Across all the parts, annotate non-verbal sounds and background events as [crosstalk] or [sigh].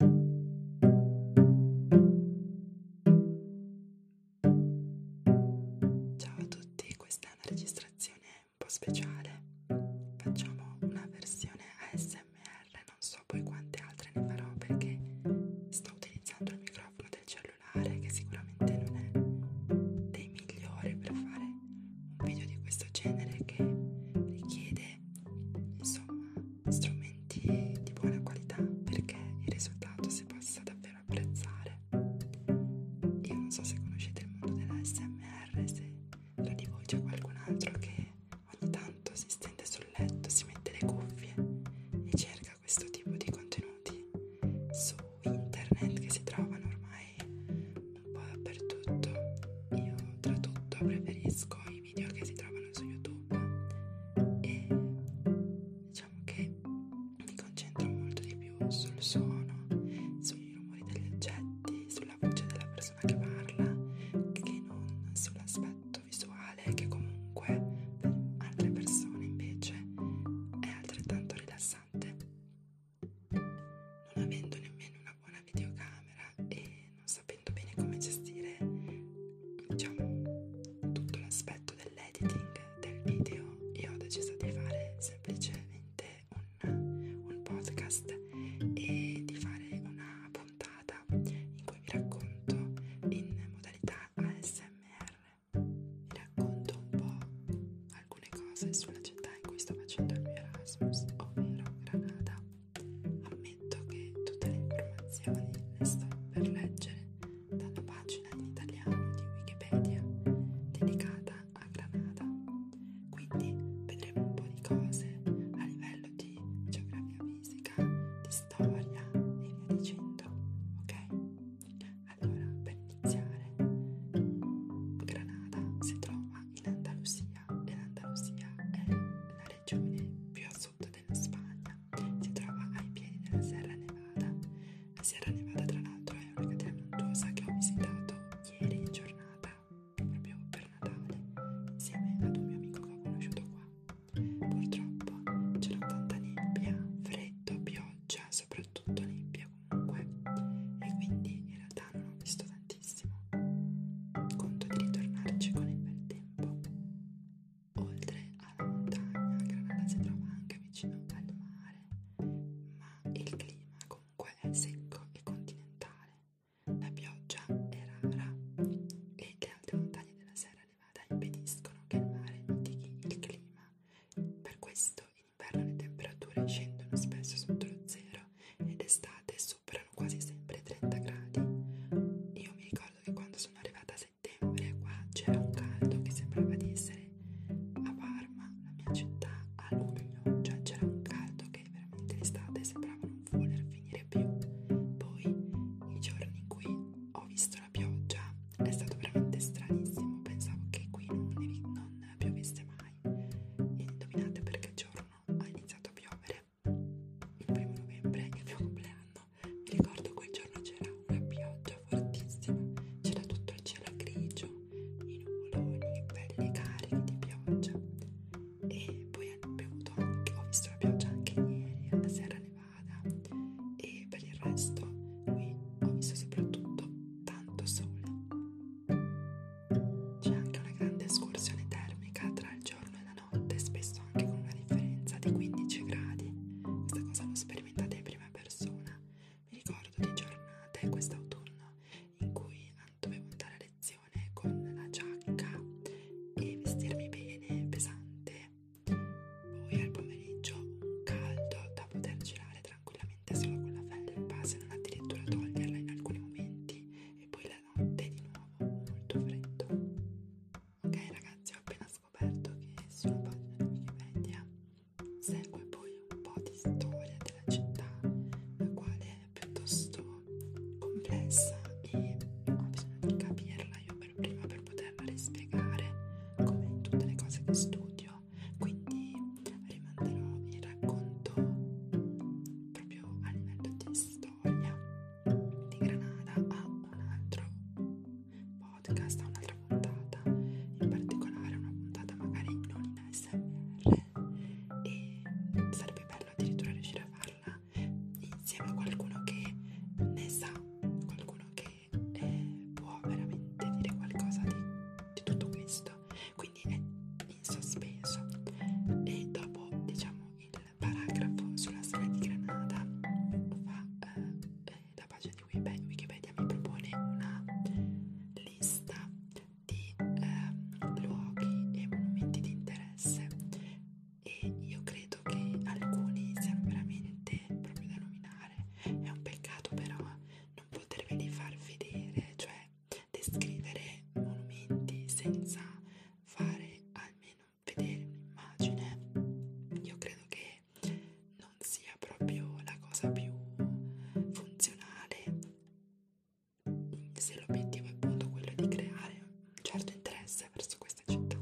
Ciao a tutti, questa è una registrazione un po' speciale. Facciamo una versione ASMR, non so poi quante altre ne farò perché sto utilizzando il microfono del cellulare che sicuramente non è dei migliori per fare un video di questo genere che richiede insomma strumenti di buona qualità perché il risultato si possa davvero apprezzare. Io non so se conoscete il mondo dell'ASMR, se tra di voi c'è qualcun altro che ogni tanto si stende sul letto, si mette le cuffie e cerca questo tipo di contenuti su internet che si trovano ormai un po' dappertutto. Io tra tutto preferisco i i video che si trovano su YouTube e diciamo che mi concentro molto di più sul suono, sui rumori degli oggetti, sulla voce della persona che parla che non sull'aspetto visuale che comunque per altre persone invece è altrettanto rilassante. Non avendo nemmeno una buona videocamera e non sapendo bene come gestire diciamo tutto l'aspetto dell'editing del video io ho deciso di fare semplicemente un, un podcast e di fare una puntata in cui vi racconto in modalità ASMR vi racconto un po' alcune cose sulla città in cui sto facendo il mio Erasmus ovvero Granada Ammetto che tutte le informazioni le sto per leggere da una pagina in italiano di Wikipedia dedicata a Granada. Quindi vedremo un po' di cose a livello di geografia fisica, di storia e via dicendo, ok? Allora, per iniziare, Granada si trova in Andalusia e l'Andalusia è la regione più a sud sud della Spagna, si trova ai piedi della Sierra Nevada. La Sierra Nevada, tra l'altro, è una catena montuosa che ho visitato ieri in giornata, proprio per Natale, insieme ad un mio amico che ho conosciuto qua. Purtroppo c'era tanta nebbia, freddo, pioggia, soprattutto nebbia comunque, e quindi in realtà non ho visto tantissimo. Conto di ritornarci con il bel tempo. Oltre alla montagna, Granada si trova anche vicino al mare, ma il clima comunque è secco e continentale. La pioggia è rara e le alte montagne della Sierra Nevada impediscono che il mare mitighi il clima. Per questo in inverno le temperature scendono spesso sotto lo zero ed estate superano quasi sempre i 30 gradi. Io mi ricordo ricordo che quando sono arrivata a settembre qua c'era un caldo che sembrava di essere a Parma, la mia città, a luglio, cioè c'era un caldo che veramente l'estate sembrava non voler finire più. Poi i giorni in cui ho visto la pioggia è stato veramente stranissimo, pensavo che qui non, non piovesse mai. E indovinate perché giorno ha iniziato a piovere il primo novembre, il mio compleanno, mi ricordo quel giorno c'era una pioggia fortissima, c'era tutto il cielo grigio, i nuvoloni belli carichi di pioggia e poi ho bevuto anche, ho visto la pioggia anche ieri alla Sierra Nevada e per il resto qui ho visto soprattutto tanto sole. C'è anche una grande escursione termica tra il giorno e la notte notte, spesso anche con una differenza di 15 gradi. Questa cosa l'ho sperimentata in prima persona. Mi ricordo di giornate quest'autunno in cui dovevo andare a lezione con la giacca e vestirmi bene, pesante. Poi al pomeriggio un caldo da poter girare tranquillamente solo con la felpa, se non addirittura toglierla in alcuni momenti. E poi la notte di nuovo molto freddo. Ok ragazzi, ho appena scoperto che sulla pagina di Wikipedia segue poi un po' di storia della città, la quale è piuttosto complessa e ho bisogno di capirla io per prima per poterla rispiegare come in tutte le cose che studio, quindi rimanderò il racconto proprio a livello di storia Soglia di Granada a un altro podcast, a un'altra puntata, in particolare una puntata magari non in ASMR e sarebbe bello addirittura riuscire a farla insieme a qualcuno che ne sa, qualcuno che eh, può veramente dire qualcosa di, di tutto questo, quindi è in sospeso e dopo diciamo il paragrafo sulla strada di Granada fa, eh, eh, la pagina di Wikipedia, Wikipedia mi propone una lista di eh, luoghi e monumenti di interesse e io credo che alcuni siano veramente proprio da nominare è un peccato però non poterveli far vedere cioè descrivere monumenti senza fare almeno vedere un'immagine io credo che non sia proprio la cosa più funzionale se l'obiettivo è appunto quello di creare un certo interesse verso questa città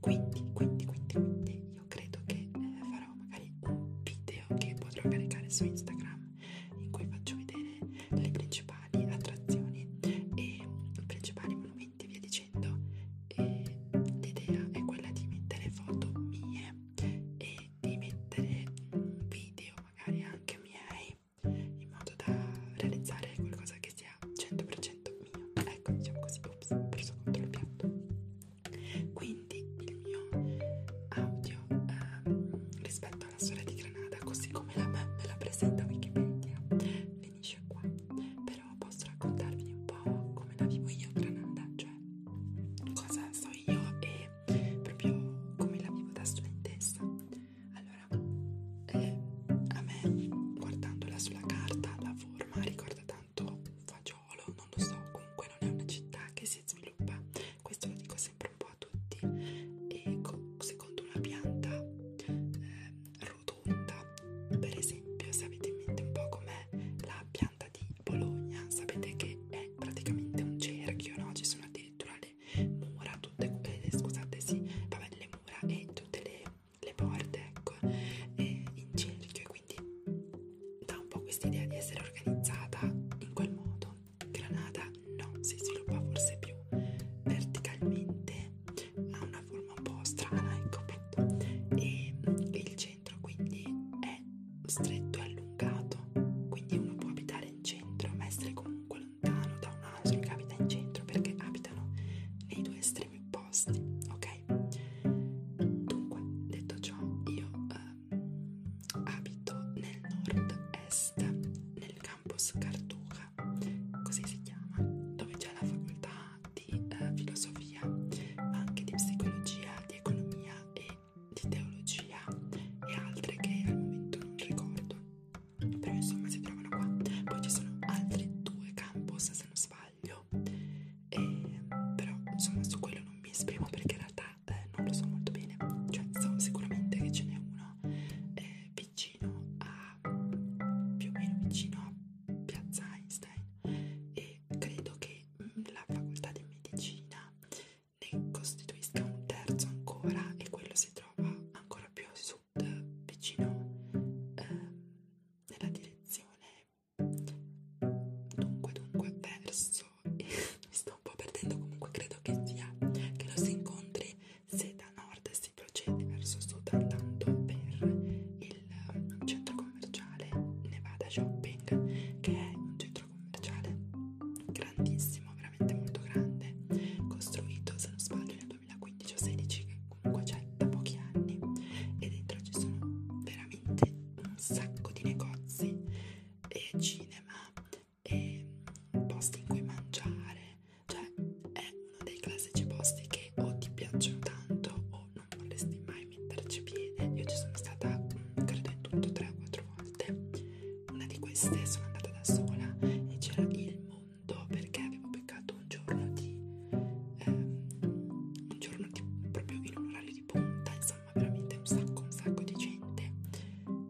quindi quindi quindi quindi io credo che eh, farò magari un video che potrò caricare su Instagram in cui faccio vedere le principali attrazioni e i principali monumenti e via dicendo facendo e l'idea è quella di mettere foto mie e di mettere video magari anche miei in modo da realizzare qualcosa che sia 100% mio ecco diciamo così ops ho preso contro il piatto quindi il mio audio ehm, rispetto alla storia di Granada così come la me, me la presenta Wikipedia finisce qua, però posso raccontarvi un po' come la vivo io Granada, cioè cosa so io e proprio come la vivo da studentessa. Allora, eh, a me guardandola sulla carta la forma ricorda tanto fagiolo, non lo so, comunque non è una città che si sviluppa, questo lo dico sempre un po' a tutti e secondo una pianta eh, prodotta. Per esempio, se avete in mente un po' com'è la pianta di Bologna, sapete che è praticamente un cerchio, no? Ci sono addirittura le mura, tutte eh, scusate, sì, vabbè, le mura e tutte le, le porte, ecco, eh, in cerchio, e quindi dà un po' questa idea di essere organizzata in quel modo. Granada no, si sviluppa forse più verticalmente ha una forma un po' strana, ecco appunto. E il centro quindi è stretto e allungato, quindi uno può abitare in centro ma essere comunque lontano da un altro che abita in centro perché abitano nei due estremi opposti, ok? Dunque, detto ciò, io eh, abito nel nord-est, nel campus Cartuja Nuova, così si chiama, dove c'è la facoltà di eh, filosofia, ma anche di psicologia, di economia e di teologia e altre che al momento non ricordo, però insomma si trovano qua. Poi ci sono altri due campus se non sbaglio, e, però insomma su quello non mi esprimo perché in realtà eh, non lo so molto bene, cioè so sicuramente che ce n'è uno eh, vicino a più o meno vicino a Piazza Einstein e credo che mm, la facoltà di medicina ne costituisca un terzo ancora e quello si trova ancora più a sud vicino ehm, nella direzione dunque dunque verso [laughs] mi sto un po' perdendo comunque credo che sia che lo si incontri se da nord si procede verso sud andando per il um, centro commerciale Nevada Shopping, che è un centro commerciale grandissimo, veramente molto grande, costruito se non sbaglio nel 2015 o 2016, che comunque c'è da pochi anni, e dentro ci sono veramente un sacco di negozi e cinema e posti in cui mangiare cioè è uno dei classici posti che o ti piacciono tanto o non vorresti mai metterci piede. Io ci sono stata mm, credo in tutto 3 o 4 volte. Una di queste sono andata da sola e c'era il mondo perché avevo beccato un giorno di ehm, un giorno di, proprio in un orario di punta, insomma, veramente un sacco, un sacco di gente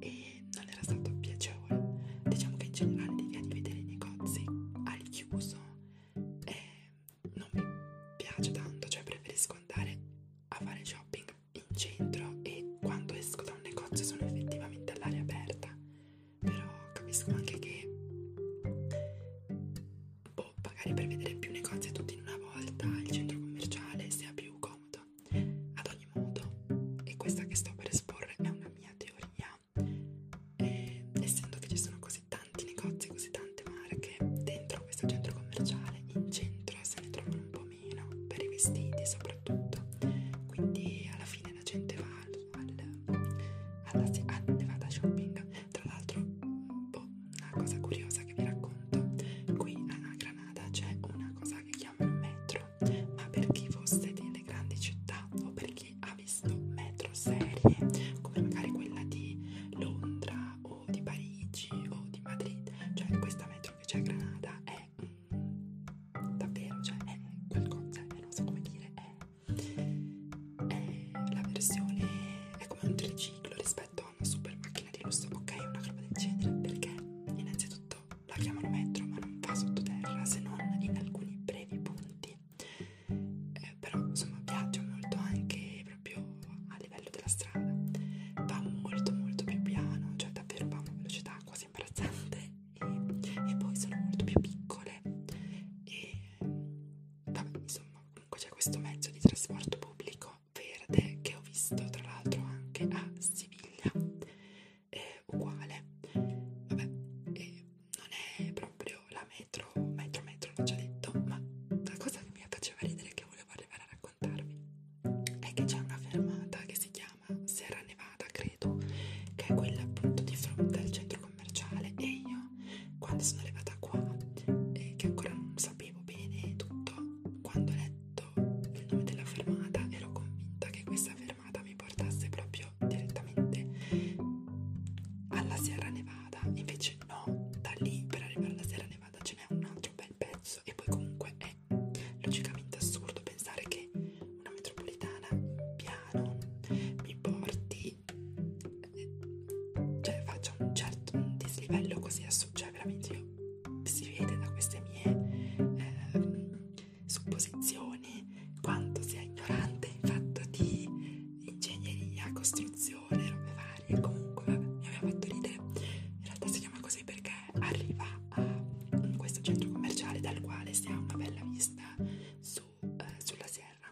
e non era stato piacevole. Diciamo che in generale l'idea di vedere i negozi al chiuso eh, non mi piace tanto, cioè preferisco andare a fare shopping in centro e quando esco da un negozio sono effettivamente all'aria aperta, però capisco anche che boh, magari per vedere più negozi tutti in una volta il centro commerciale sia più comodo. Ad ogni modo, e questa che sto per esporre è una mia teoria e essendo che ci sono così tanti negozi, così tante marche, dentro questo centro commerciale in centro se ne trovano un po' meno per i vestiti soprattutto. Quindi alla fine la gente va al, al, alla Nevada Shopping. Tra l'altro, boh, una cosa curiosa che vi racconto, qui a Granada c'è una cosa che chiamano metro, ma per chi fosse delle grandi città o per chi chi ha visto metro serie come magari quella di Londra o di Parigi o di Madrid, cioè questa metro che c'è a Granada è mm, davvero, cioè è qualcosa, cioè, non so come dire, è, è la versione, è come un triciclo rispetto a una super macchina di lusso, ok, una roba del genere, perché innanzitutto la chiamano metro ma non va sottoterra se non in alcuni brevi punti eh, però insomma piace molto anche proprio a livello della strada va molto molto più piano cioè davvero va a una velocità quasi imbarazzante e, e poi sono molto più piccole e vabbè insomma comunque c'è questo mezzo di trasporto pubblico verde che ho visto tra l'altro anche a Siviglia è uguale vabbè e non è proprio la metro, metro, metro, l'ho già detto, ma la cosa che mi faceva ridere e che volevo arrivare a raccontarvi è che c'è una fermata che si chiama Sierra Nevada, credo, che è quella appunto di fronte al centro commerciale e io quando sono arrivata qua, eh, che ancora non sapevo bene tutto, quando ho letto il nome della fermata ero convinta che questa fermata mi portasse proprio proprio direttamente alla Sierra Nevada. Invece no, da lì per arrivare alla Sierra Nevada ce n'è un altro bel pezzo e poi comunque è logicamente assurdo pensare che una metropolitana piano mi porti cioè faccia un certo dislivello così assurdo, cioè veramente io si vede da queste mie eh, supposizioni quanto sia ignorante in fatto di ingegneria, costruzione, robe varie. Comunque, vabbè, mi aveva fatto ridere. In realtà si chiama così perché arriva a questo centro commerciale dal quale si ha una bella vista su, eh, sulla sierra.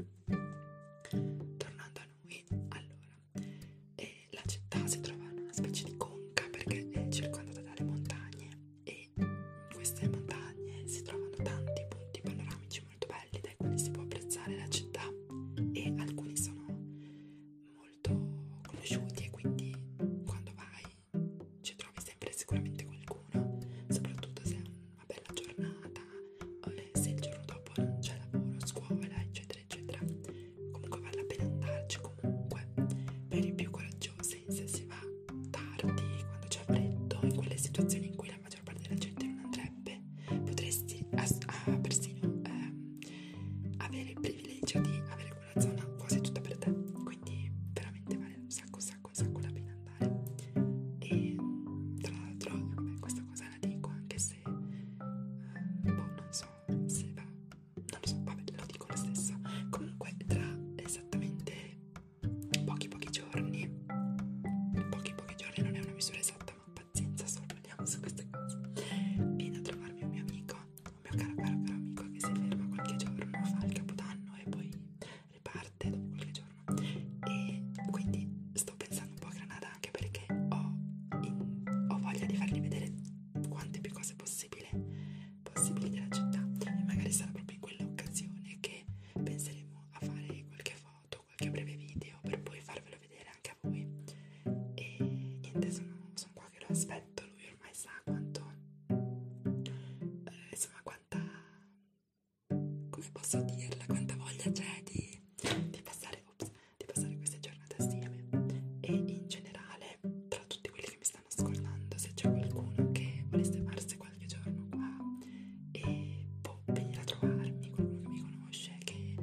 Tornando a noi, allora, eh, la città si trova in una specie di conca perché è circondata dalle montagne e in queste montagne si trovano tanti punti panoramici paesaggi molto belli, dai quali si può apprezzare la città e alcuni sono molto conosciuti e quindi quando vai ci trovi sempre sicuramente qualcuno, soprattutto se è una bella giornata o se il giorno dopo non c'è lavoro, scuola, eccetera, eccetera. Comunque vale la pena andarci comunque per i più coraggiosi se si va tardi, quando c'è freddo, in quelle situazioni in cui la mattina maggior parte della gente non andrebbe, potresti as- ah, persino eh, avere il privilegio di avere quella zona quasi tutta per te. Quindi veramente vale un sacco, un sacco, un sacco la pena andare. E tra l'altro, vabbè, questa cosa la dico anche se eh, boh, non so se va, non lo so, vabbè, lo dico lo stesso. Comunque, tra esattamente pochi pochi giorni pochi pochi giorni non è una misura esatta ma pazienza sorprendiamo su queste cose viene a trovarmi un mio amico un mio caro caro caro amico che si ferma qualche giorno fa il capodanno e poi riparte dopo qualche giorno e quindi sto pensando un po' a Granada anche perché ho, in, ho voglia di fargli vedere quante più cose possibile possibili della città e magari sarà proprio in quell'occasione che penseremo a fare qualche foto fatto qualche breve video per poi farvelo vedere anche a voi e niente sono, sono qua che lo aspetto lui ormai sa quanto eh, insomma quanta come posso dirla quanta voglia c'è di, di, passare, ops, di passare queste giornate assieme e in generale tra tutti quelli che mi stanno ascoltando se c'è qualcuno che volesse farsi qualche giorno qua e può boh, venire a trovarmi qualcuno che mi conosce che,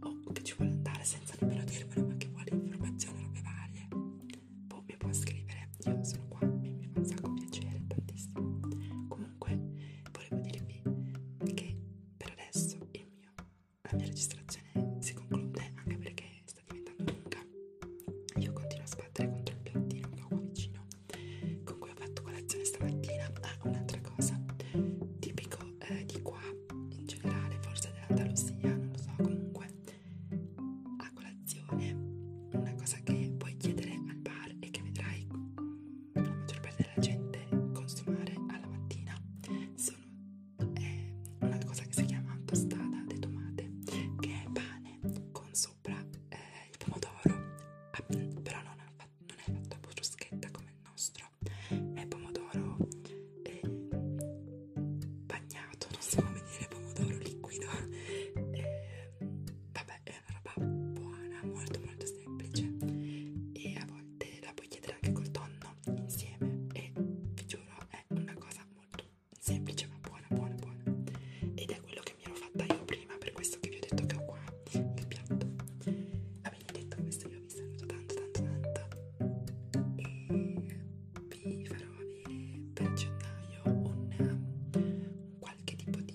o oh, che ci vuole andare senza nemmeno dirmelo ma che vuole informazioni, robe varie può, boh, mi può scrivere, io sono qua, mi, mi fa un sacco piacere, tantissimo comunque volevo dirvi che per adesso il mio, la mia registrazione si conclude anche perché sta diventando lunga io continuo a sbattere contro il piattino che ho qua vicino con cui ho fatto colazione stamattina. Ah, un'altra cosa, tipico eh, di qua in generale, forse dell'Andalusia, non lo so. Comunque, a colazione, una cosa che puoi chiedere al bar e che vedrai la maggior parte della gente consumare alla mattina sono eh, una cosa che si chiama tostada de tomate, che è pane con sopra eh, il pomodoro, ah, però non è, fatto, non è fatto a bruschetta come il nostro, è pomodoro eh, bagnato, non so come dire pomodoro liquido, eh, vabbè è una roba buona, molto molto semplice e a volte la puoi chiedere anche col tonno insieme e vi giuro è una cosa molto semplice ma buona buona buona ed è quello che che mi ero fatta io prima per questo che vi ho detto che ho qua il piatto va bene detto questo io vi saluto tanto tanto tanto e vi farò avere per gennaio un, un qualche tipo di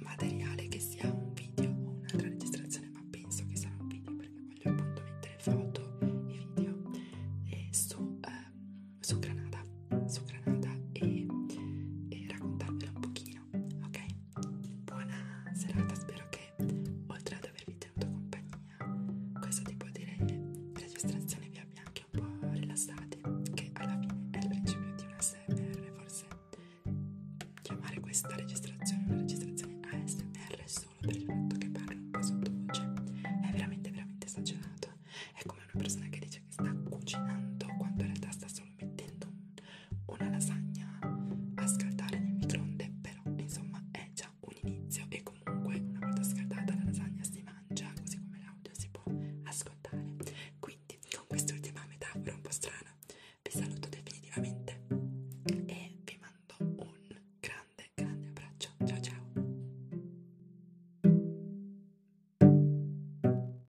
materiale che sia un video o un'altra registrazione ma penso che sarà un video perché voglio appunto mettere foto e video e eh, su, eh, su Granada su Granada e, e raccontarvela un pochino carino, ok? Buona serata, spero che oltre ad avervi tenuto compagnia, questo tipo di registrazione vi abbia anche un po' rilassati, che alla fine è il principio di un ASMR, forse chiamare questa registrazione una registrazione ASMR solo per il fatto che parlo un po' sottovoce è veramente veramente esagerato, è come una persona che dice che sta cucinando quando in realtà sta solo stavo mettendo una lasagna a scaldare nel microonde però insomma è già un inizio e comunque una volta scaldata la lasagna si mangia così come l'audio si può ascoltare quindi con quest'ultima metafora un po' strana vi saluto definitivamente e vi mando un grande grande abbraccio ciao ciao